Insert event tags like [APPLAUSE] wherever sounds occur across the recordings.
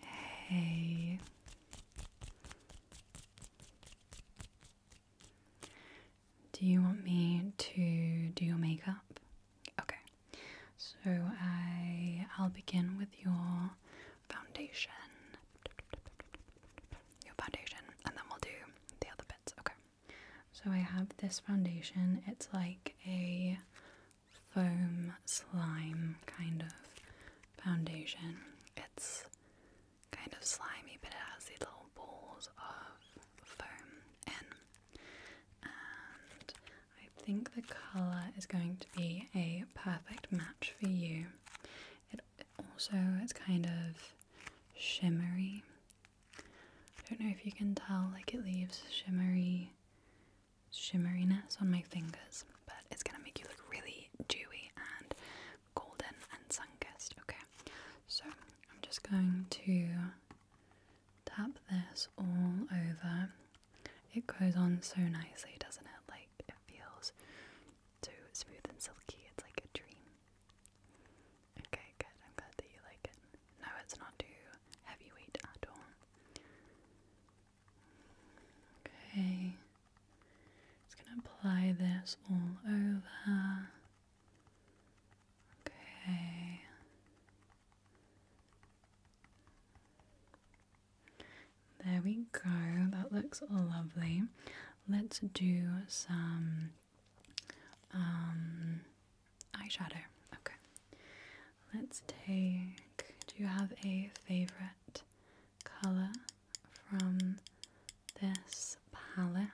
Hey. Do you want me to do your makeup? Okay. So I I'll begin with your foundation. Your foundation and then we'll do the other bits. Okay. So I have this foundation. It's like a foam slime kind of foundation. It's kind of slimy, but it has these little balls of foam in. And I think the colour is going to be a perfect match for you. It also it's kind of shimmery. I don't know if you can tell, like it leaves shimmery shimmeriness on my fingers, but it's gonna make you look really dewy and golden and sun-kissed, okay? So I'm just going to tap this all over. It goes on so nicely, doesn't it? Like it feels so smooth and silky, it's like a dream. Okay, good. I'm glad that you like it. No, it's not too heavyweight at all. Okay, just gonna apply this all over. Okay. There we go. That looks lovely. Let's do some um, eyeshadow. Okay. Let's take. Do you have a favorite color from this palette?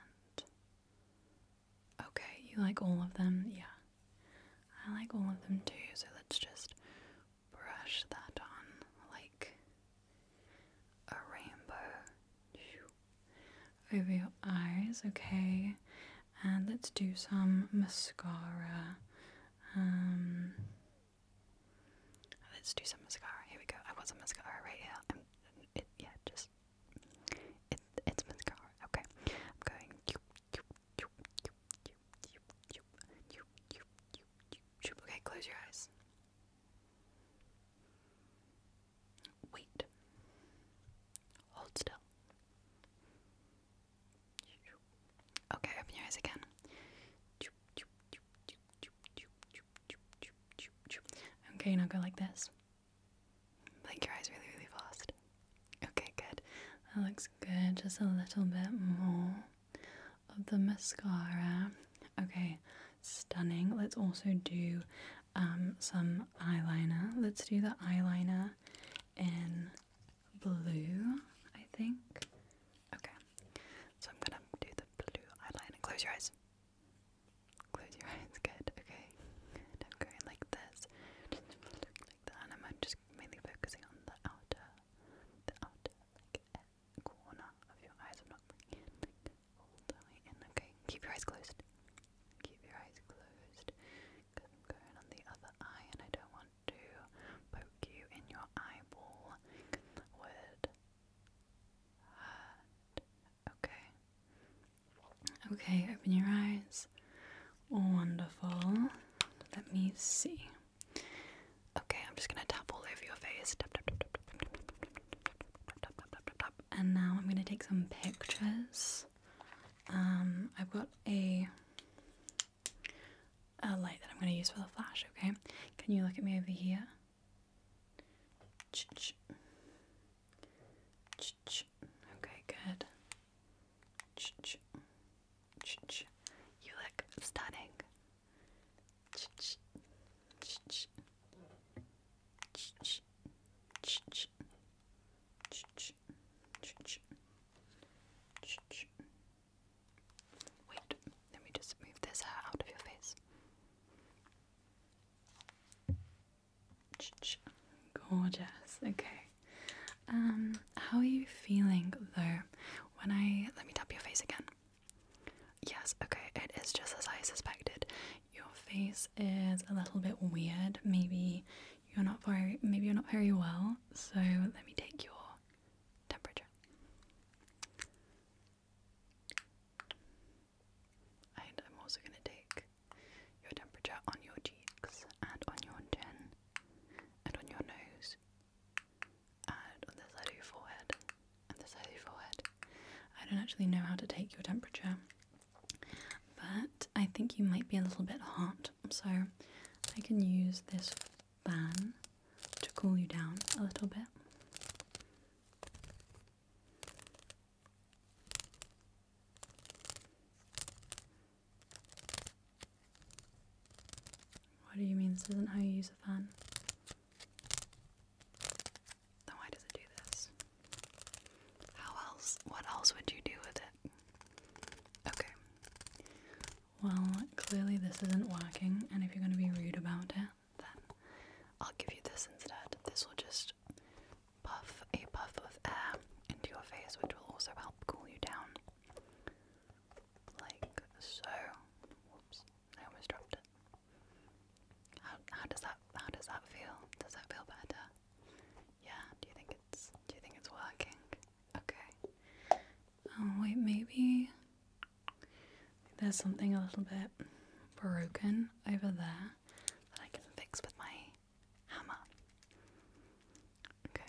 Okay, you like all of them? Yeah. I like all of them too, so let's just brush that on like a rainbow over your eyes, okay? and let's do some mascara. let's do some mascara. Here we go. I want some mascara right here. yeah, just it's mascara. Okay, I'm going. Okay, close your eyes. Wait. Hold still. Okay, open your eyes again. Okay, now go like this. Blink your eyes really, really fast. Okay, good. That looks good. Just a little bit more of the mascara. Okay, stunning. Let's also do um, some eyeliner. Let's do the eyeliner in blue, I think. Okay, so I'm gonna do the blue eyeliner. Close your eyes. Close your [LAUGHS] eyes. Good. Okay. I'm going like this. like that, and I'm just mainly focusing on the outer, the outer like corner of your eyes. I'm not bringing it in. Okay. Keep your eyes closed. Keep your eyes closed going on the other eye and I don't want to poke you in your eyeball. That Okay. Okay, open your eyes. Wonderful. Let me see. Okay, I'm just gonna tap all over your face. And now I'm gonna take some pictures um, I've got a, a light that I'm going to use for the flash, okay? Can you look at me over here? okay, good. You look stunning. Wait, let me just move this hair out of your face. Gorgeous. Okay. Um, how are you feeling though? When I let me tap your face again. Yes, okay, it is just as I suspected. Your face is a little bit weird. Maybe you're not very maybe you're not very well, so let me take your temperature. And I'm also going to take your temperature on your cheeks and on your chin and on your nose and on the side of your forehead and the side of your forehead. I don't actually know how to take your temperature but I think you might be a little bit hot, so I can use this fan to cool you down a little bit. What do you mean this isn't how you use a fan? Then why does it do this? How else? What else would you do with it? Okay. Well, clearly this isn't working, and if you're going to be rude about it, then I'll give you this instead. This will just puff a puff of air into your face, which will also help cool you down. Like so. Whoops, I almost dropped it. How, how does that how does that feel? Does that feel better? Yeah, do you think it's do you think it's working? Okay. Oh wait, maybe there's something a little bit broken over there that I can fix with my hammer. Okay.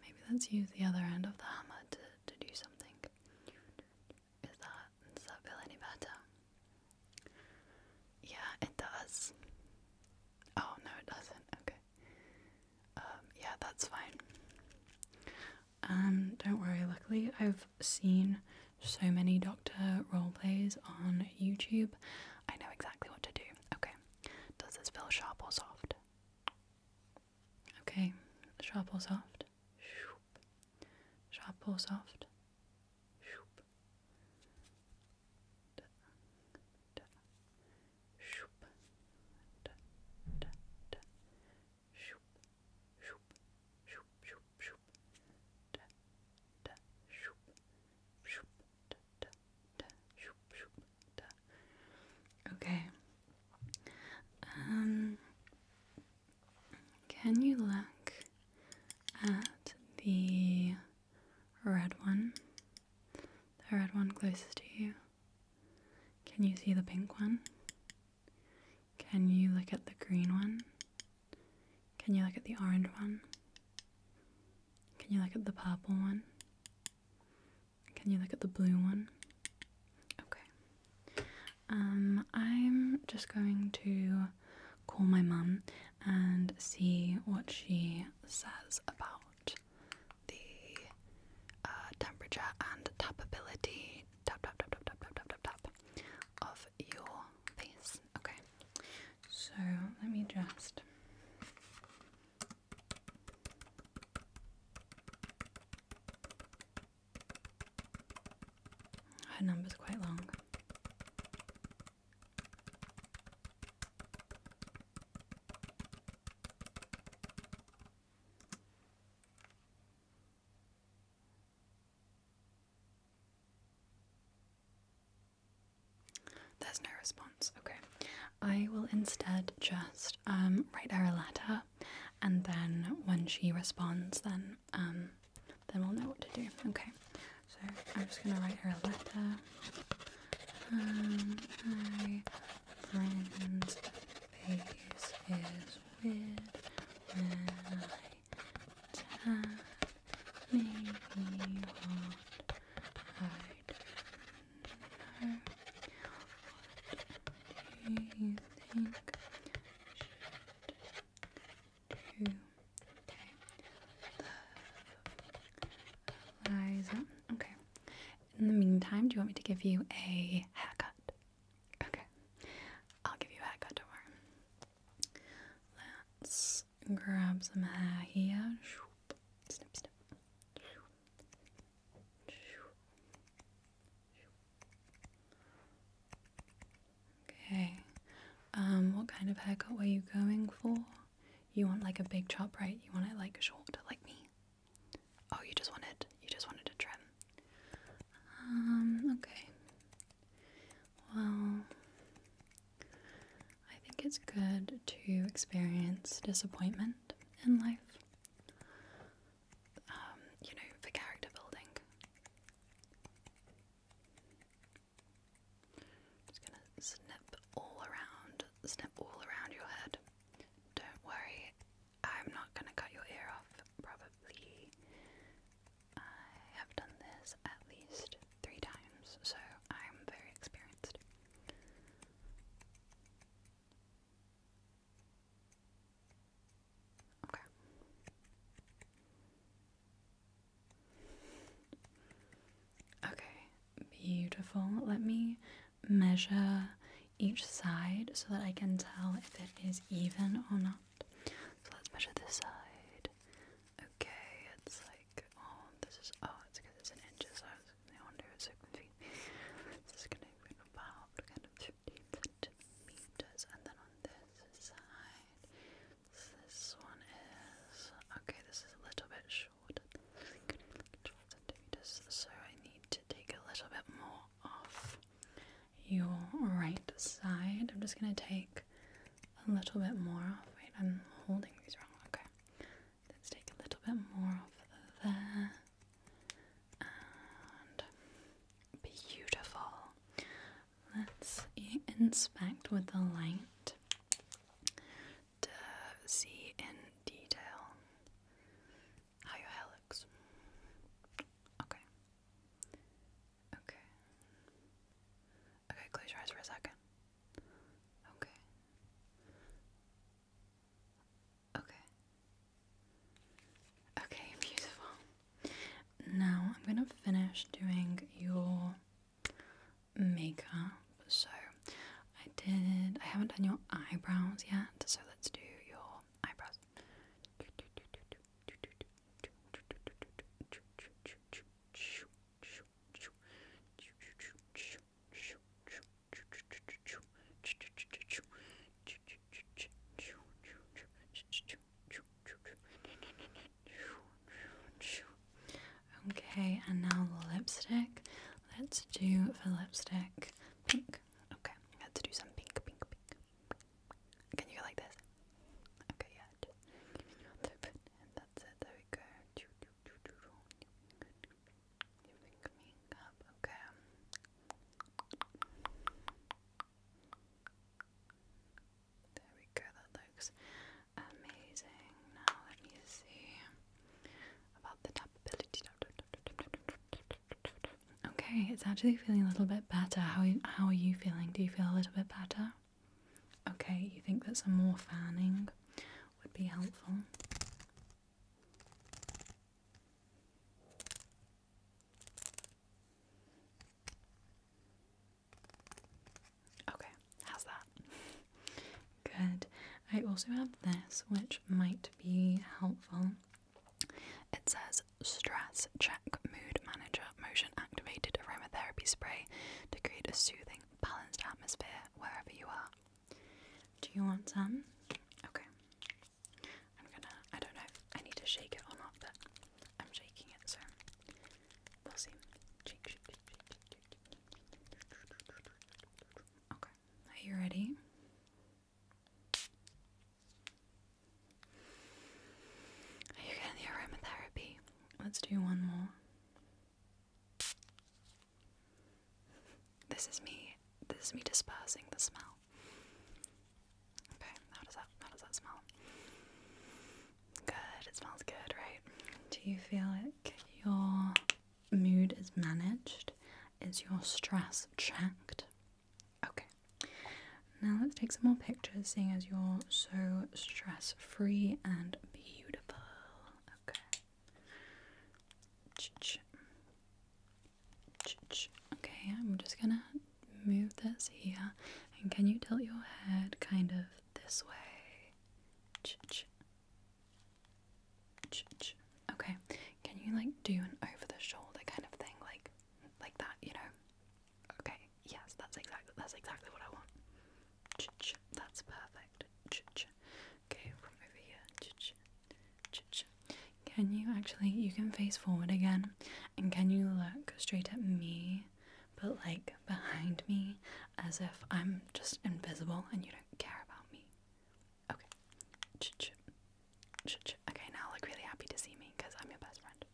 Maybe let's use the other end of the hammer to, to do something. Is that, does that feel any better? Yeah, it does. Oh, no, it doesn't. Okay. Um, yeah, that's fine. Um, don't worry, luckily I've seen so many doctor role plays on YouTube. I know exactly what to do. Okay. Does this feel sharp or soft? Okay, sharp or soft? Sharp or soft? Shoop. Da, da. Shoop. Da, da, da. Shoop. Shoop. Shoop. Shoop. Shoop. Da, da. Shoop. Shoop. Da, da. Okay. Um, can you look at the red one? The red one closest to you. Can you see the pink one? Can you look at the green one? Can you look at the orange one? Can you look at the purple one? Can you look at the blue one? Okay. Um, I'm just going to call my mum and see what she says about the uh, temperature and tapability. Tap tap tap tap tap tap tap tap tap of your face. Okay. So let me just her number's quite long. There's no response. Okay. I will instead just um, write her a letter, and then when she responds, then um, then we'll know what to do. Okay. So I'm just gonna write her a letter. Um, Okay. In the meantime, do you want me to give you a haircut? Okay. I'll give you a haircut tomorrow. Let's grab some hair here snip, snip. Okay, um, what kind of haircut were you going for? You want like a big chop, right? You want it like short, like me? Oh, you just wanted, you just wanted a trim. Um, okay. Well, I think it's good to experience disappointment in life, um, you know, for character building. just gonna snip all around, snip all around your head. Don't worry, I'm not gonna cut your ear off, probably. I have done this at least three times, so I'm very experienced. Okay. Okay, beautiful. Let me measure each side so that I can tell if it is even or not. So let's measure this side okay. It's like, oh, this is, oh, it's because it's in inches. I was I wonder if it's feet. This is going to be about kind of 15 centimeters. And then on this side, this one is, okay, this is a little bit shorter. centimeters. So I need to take a little bit more off your right side. I'm just going to take a little bit more off. Wait, I'm holding these wrong. Okay. Let's take a little bit more off there. And beautiful. Let's inspect with the light to see in detail how your hair looks. Okay. Okay. Okay, close your eyes for a second. Okay. Okay. Okay, beautiful. Now I'm gonna finish doing your makeup. So I did I haven't done your eyebrows yet, so let's do your eyebrows. Okay, and now the lipstick. Let's do the lipstick pink. Okay, let's do some pink, pink, pink. Can you go like this? Okay, yeah. There we go. Okay. There we go. That looks amazing. Now let me see about the tappability. Okay, it's actually feeling a little bit better. How how are you feeling? Do you feel a little bit better? Okay, you think that some more fanning would be helpful? Okay, how's that? [LAUGHS] Good. I also have this, which might be helpful. It says Stress Check Mood Manager Motion Activated Aromatherapy Spray to create a soothing balanced atmosphere wherever you are. Do you want some? Okay. I'm gonna, I don't know I need to shake it or not, but I'm shaking it, so we'll see. Okay. Are you ready? Are you getting the aromatherapy? Let's do one more. This is me. This is me dispersing the smell. Okay, how does that how does that smell? Good. It smells good, right? Do you feel like your mood is managed? Is your stress checked? Okay. Now let's take some more pictures, seeing as you're so stress free and Beautiful. Okay. Okay, I'm just gonna move this here. And can you tilt your head kind of this way? Okay, can you like do an over the shoulder kind of thing, like like that, you know? Okay, yes, that's exactly that's exactly what I want. that's perfect. Okay, from over here. Can you actually you can face forward again, and can you look straight at me, but like behind me, as if I'm just invisible and you don't care about me? Okay. Okay, now look really happy to see me because I'm your best friend.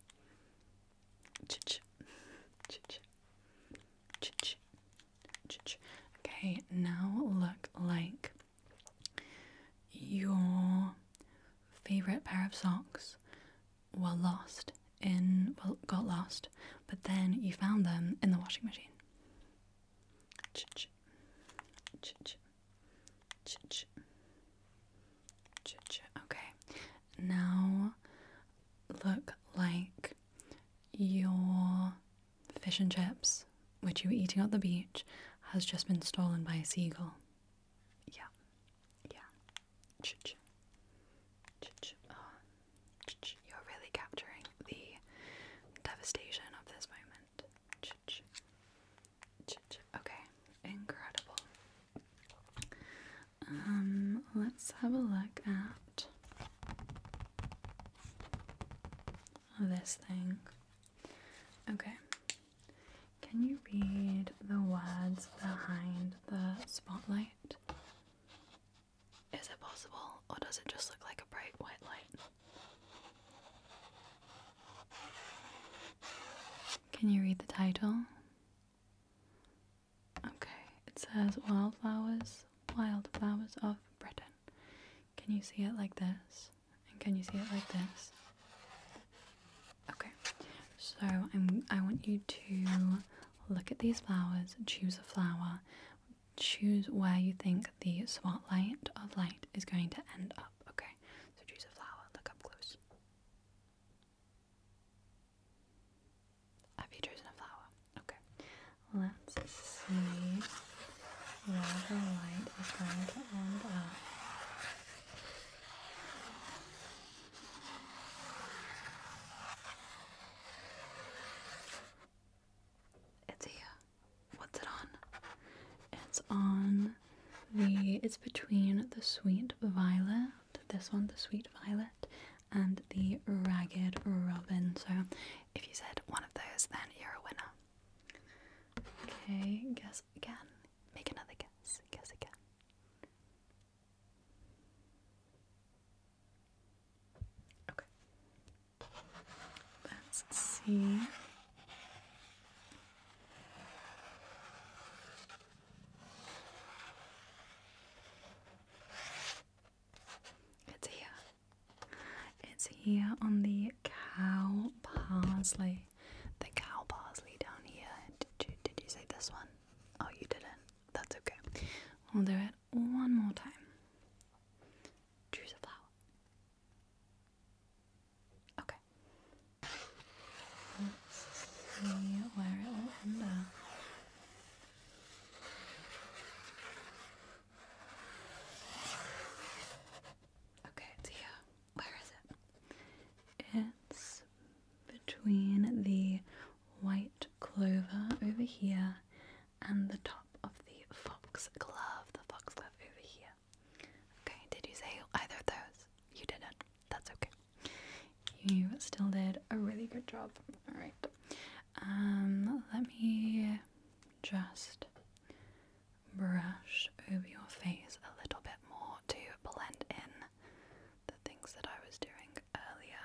Okay, now look like your favorite pair of socks were lost in, well, got lost, but then you found them in the washing machine. Okay, now look like your fish and chips, which you were eating at the beach, has just been stolen by a seagull. Yeah. Yeah. Ah. You're really capturing the devastation of this moment. Okay. Incredible. Um, let's have a look at this thing. Okay. Can you read the words behind the spotlight? Is it possible, or does it just look like a bright white light? Can you read the title? Okay, it says wildflowers, wildflowers of Britain. Can you see it like this? And can you see it like this? Okay, so I'm, I want you to look at these flowers, choose a flower, choose where you think the spotlight of light is going to end up. Okay, so choose a flower, look up close. Have you chosen a flower? Okay. Let's see where the light is going to end up. It's here. What's it on? It's on the. It's between the sweet violet this one, the Sweet Violet, and the Ragged Robin. So if you said one of those, then you're a winner. Okay, guess again. Make another guess. Guess again. Okay. Let's see. It's here. It's here on the cow parsley. The cow parsley down here. Did you, say this one? Oh, you didn't. That's okay. We'll do it one more time. Choose a flower. Okay. Let's see where it will end up. Okay, it's here. Where is it? It's between the white clover over here and the top of the foxglove. The foxglove over here. Okay, did you say either those? You didn't that's okay. You still did a really good job. All right. Um, let me just brush over your face a little bit more to blend in the things that I was doing earlier.